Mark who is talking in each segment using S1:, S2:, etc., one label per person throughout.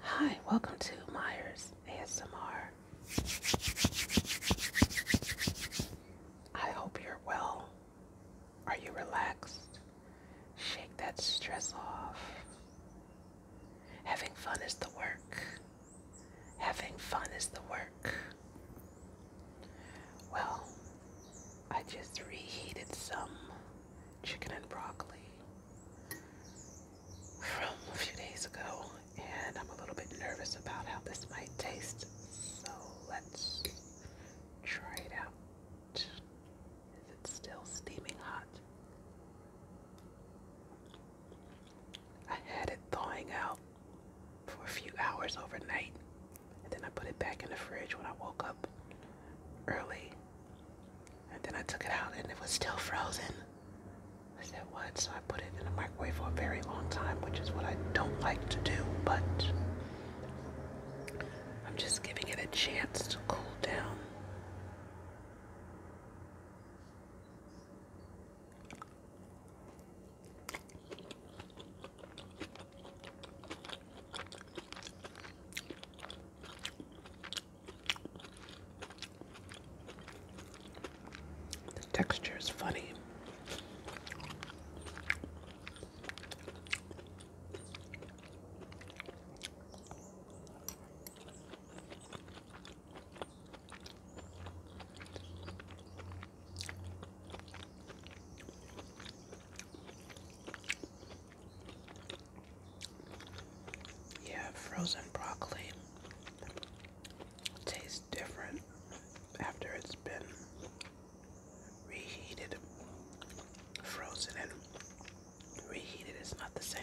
S1: Hi, welcome to Myers ASMR. I hope you're well. Are you relaxed? Shake that stress off. Having fun is the work. Having fun is the work. Well, I just reheated some chicken and broccoli from a few days ago, and I'm a little bit nervous about how this might taste. So let's try it out. Is it still steaming hot? I had it thawing out for a few hours overnight, and then I put it back in the fridge when I woke up early and then I took it out and it was still frozen. I said, what? So I put it in the microwave for a very long time, which is what I don't like to do, but I'm just giving it a chance to cool down. The texture is funny. Yeah, frozen broccoli tastes different after it's been reheated. Frozen and reheated it's not the same.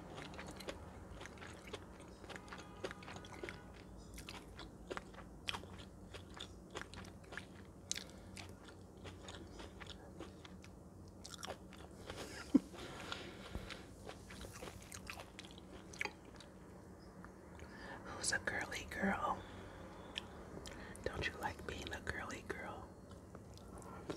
S1: Who's a girly girl? Don't you like being a girly girl?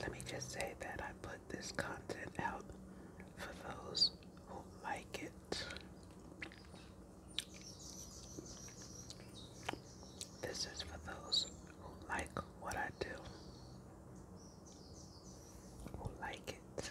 S1: Let me just say that I put this content out for those who like it. This is for those who like what I do, who like it.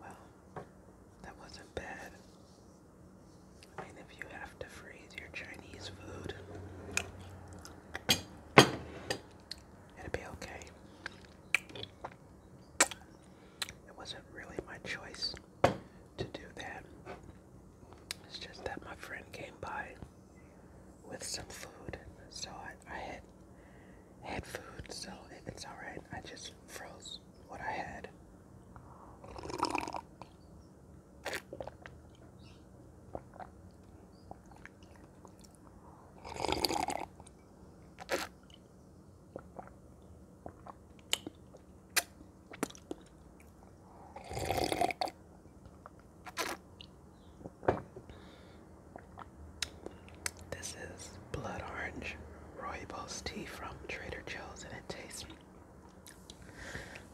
S1: Well, that wasn't bad. I mean, if you have to freeze your Chinese food, it will be okay. It wasn't really my choice to do that. It's just that my friend came by with some food, so I, I had had food, so if it's alright. I just froze what I had. This is blood orange rooibos tea from Trader Joe's and it tastes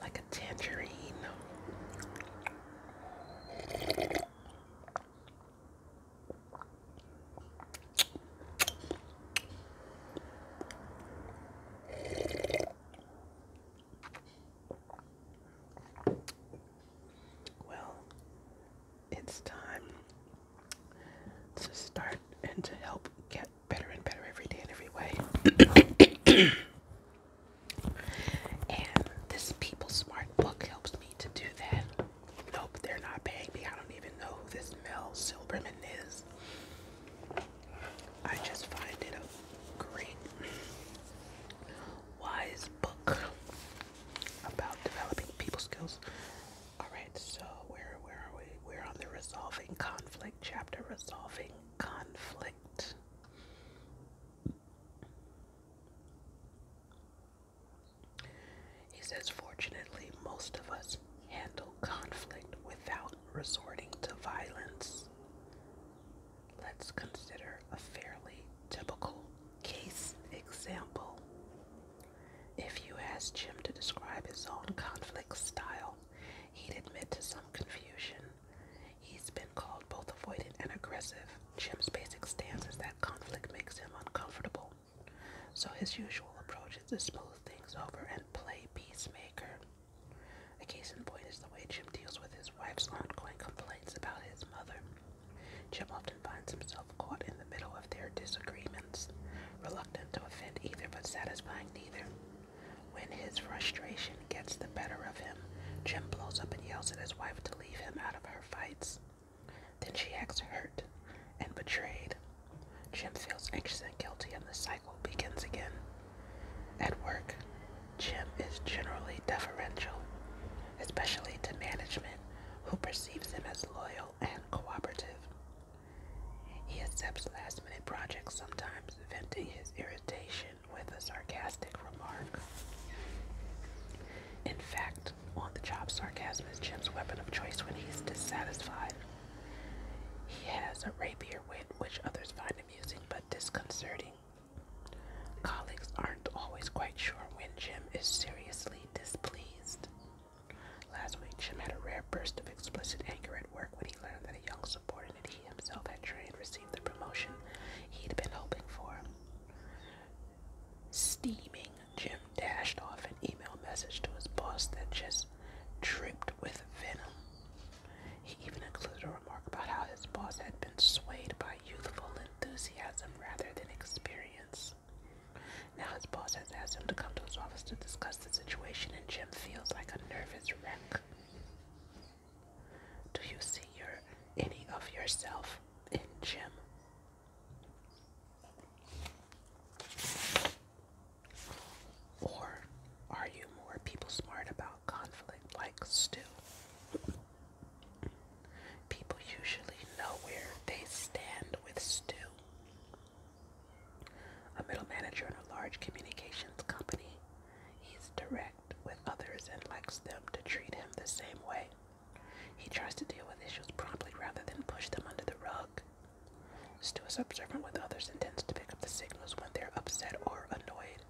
S1: like a tangerine. Well, it's time to start and to help get better and better every day in every way. and this People Smart book helps me to do that. Nope, they're not paying me. I don't even know who this Mel Silberman is. I just find it a great, wise book about developing people skills. All right, so where where are we? We're on the resolving conflict chapter, resolving conflict. He says, fortunately, most of us handle conflict without resorting to violence. Let's consider a fairly typical case example. If you ask Jim to describe his own conflict style, He'd admit to some confusion. He's been called both avoidant and aggressive. Jim's basic stance is that conflict makes him uncomfortable. So his usual approach is to smooth things over and play peacemaker. A case in point is the way Jim deals with his wife's ongoing complaints about his mother. Jim often finds himself caught in the middle of their disagreements, reluctant to offend either but satisfying neither. When his frustration gets the better of him, Jim blows up and yells at his wife to leave him out of her fights. Then she acts hurt and betrayed. Jim feels anxious and guilty, and the cycle begins again. At work, Jim is generally deferential, especially to management, who perceives him as loyal and cooperative. He accepts last minute projects, sometimes venting his irritation with a sarcastic remark. In fact, on the job, sarcasm is Jim's weapon of choice when he's dissatisfied. He has a rapier wit which others find amusing but disconcerting. Colleagues aren't always quite sure when Jim is seriously displeased. Last week, Jim had a rare burst of explicit anger at work when he learned that a young subordinate he himself had trained received the promotion he'd been hoping for. Steaming, Jim dashed off an email message to his boss that just dripped with venom. He even included a remark about how his boss had been swayed by youthful enthusiasm rather than experience. Now his boss has asked him to come to his office to discuss the situation, and Jim feels like a nervous wreck. Do you see any of yourself in Jim? Or are you more people smart about conflict like Stu? People usually know where they stand with Stu. A middle manager in a large communications company. He's direct with others and likes them to treat him the same way. He tries to deal with issues promptly rather than push them under the rug. Stu is observant with others and tends to pick up the signals when they're upset or annoyed.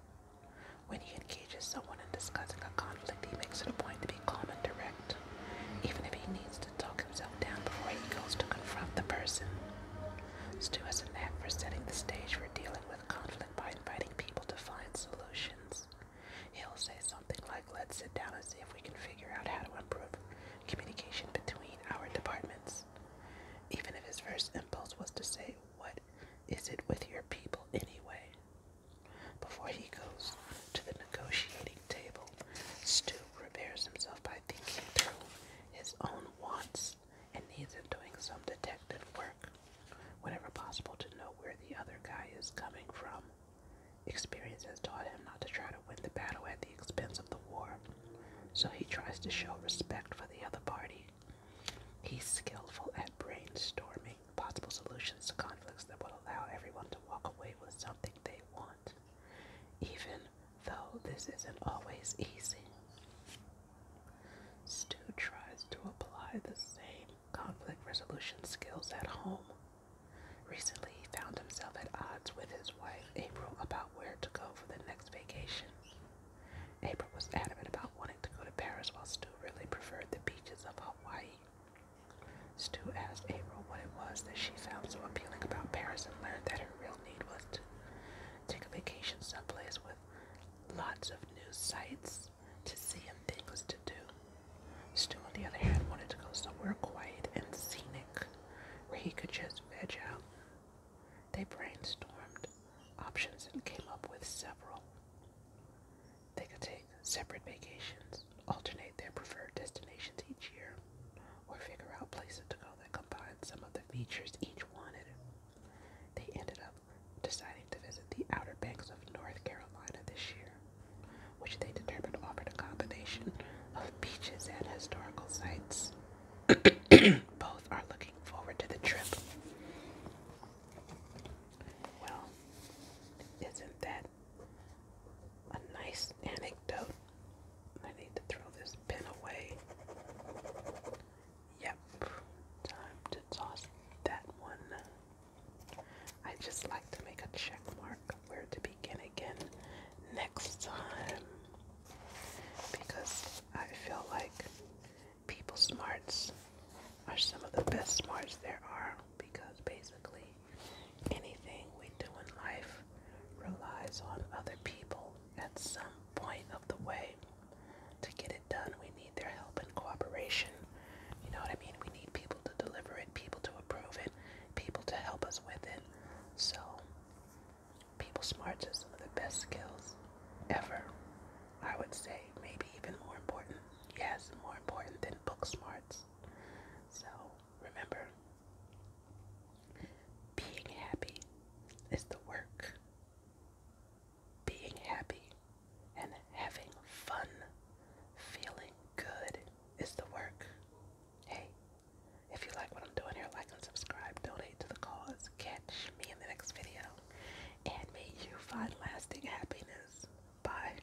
S1: When he engages someone in discussing a conflict, he makes it a point to be calm and direct, even if he needs to talk himself down before he goes to confront the person. Stu has a knack for setting the stage for dealing with conflict by inviting people to find solutions. He'll say something like, let's sit down and see if we can figure out how to improve communication between our departments. Even if his first impulse was to say, what is it with your people anyway? Before he goes to the negotiating table, Stu repairs himself by thinking through his own wants and needs and doing some detective work, whenever possible, to know where the other guy is coming from. Experience has taught him not to try to win the battle at the expense of the war, so he tries to show respect for the other party. He's skillful at brainstorming possible solutions to conflicts that would allow everyone to walk away with something they want even though this isn't always easy. Stu tries to apply the same conflict resolution skills at home. Recently, he found himself at odds with his wife, April, about where to go for the next vacation. April was adamant about wanting to go to Paris, while Stu really preferred the beaches of Hawaii. Stu asked April what it was that she found so appealing about Paris and learned that her real need was to take a vacation someplace with lots of new sights to see and things to do. Stu, on the other hand, wanted to go somewhere quiet and scenic where he could just veg out. They brainstormed options and came up with several. They could take separate vacations alternate their preferred destinations each year or figure out places to go that combine some of the features each wanted. They ended up deciding to visit the Outer Banks of North Carolina this year, which they determined offered a combination of beaches and historical sites. Both are looking forward to the trip. Well, isn't that a nice anecdote. I need to throw this pin away. Yep, time to toss that one. I just like to make a check mark where to begin again next time because I feel like people smarts are some of the best smarts there are because basically Anything we do in life relies on other people at some point of the way. To get it done, we need their help and cooperation. You know what I mean? We need people to deliver it, people to approve it, people to help us with it. So, people smarts are some of the best skills ever. I would say maybe even more important. Yes, more important than book smarts. So, remember, being happy is the work. Being happy and having fun, feeling good is the work. Hey, if you like what I'm doing here, like and subscribe, donate to the cause, catch me in the next video, and may you find lasting happiness. Bye.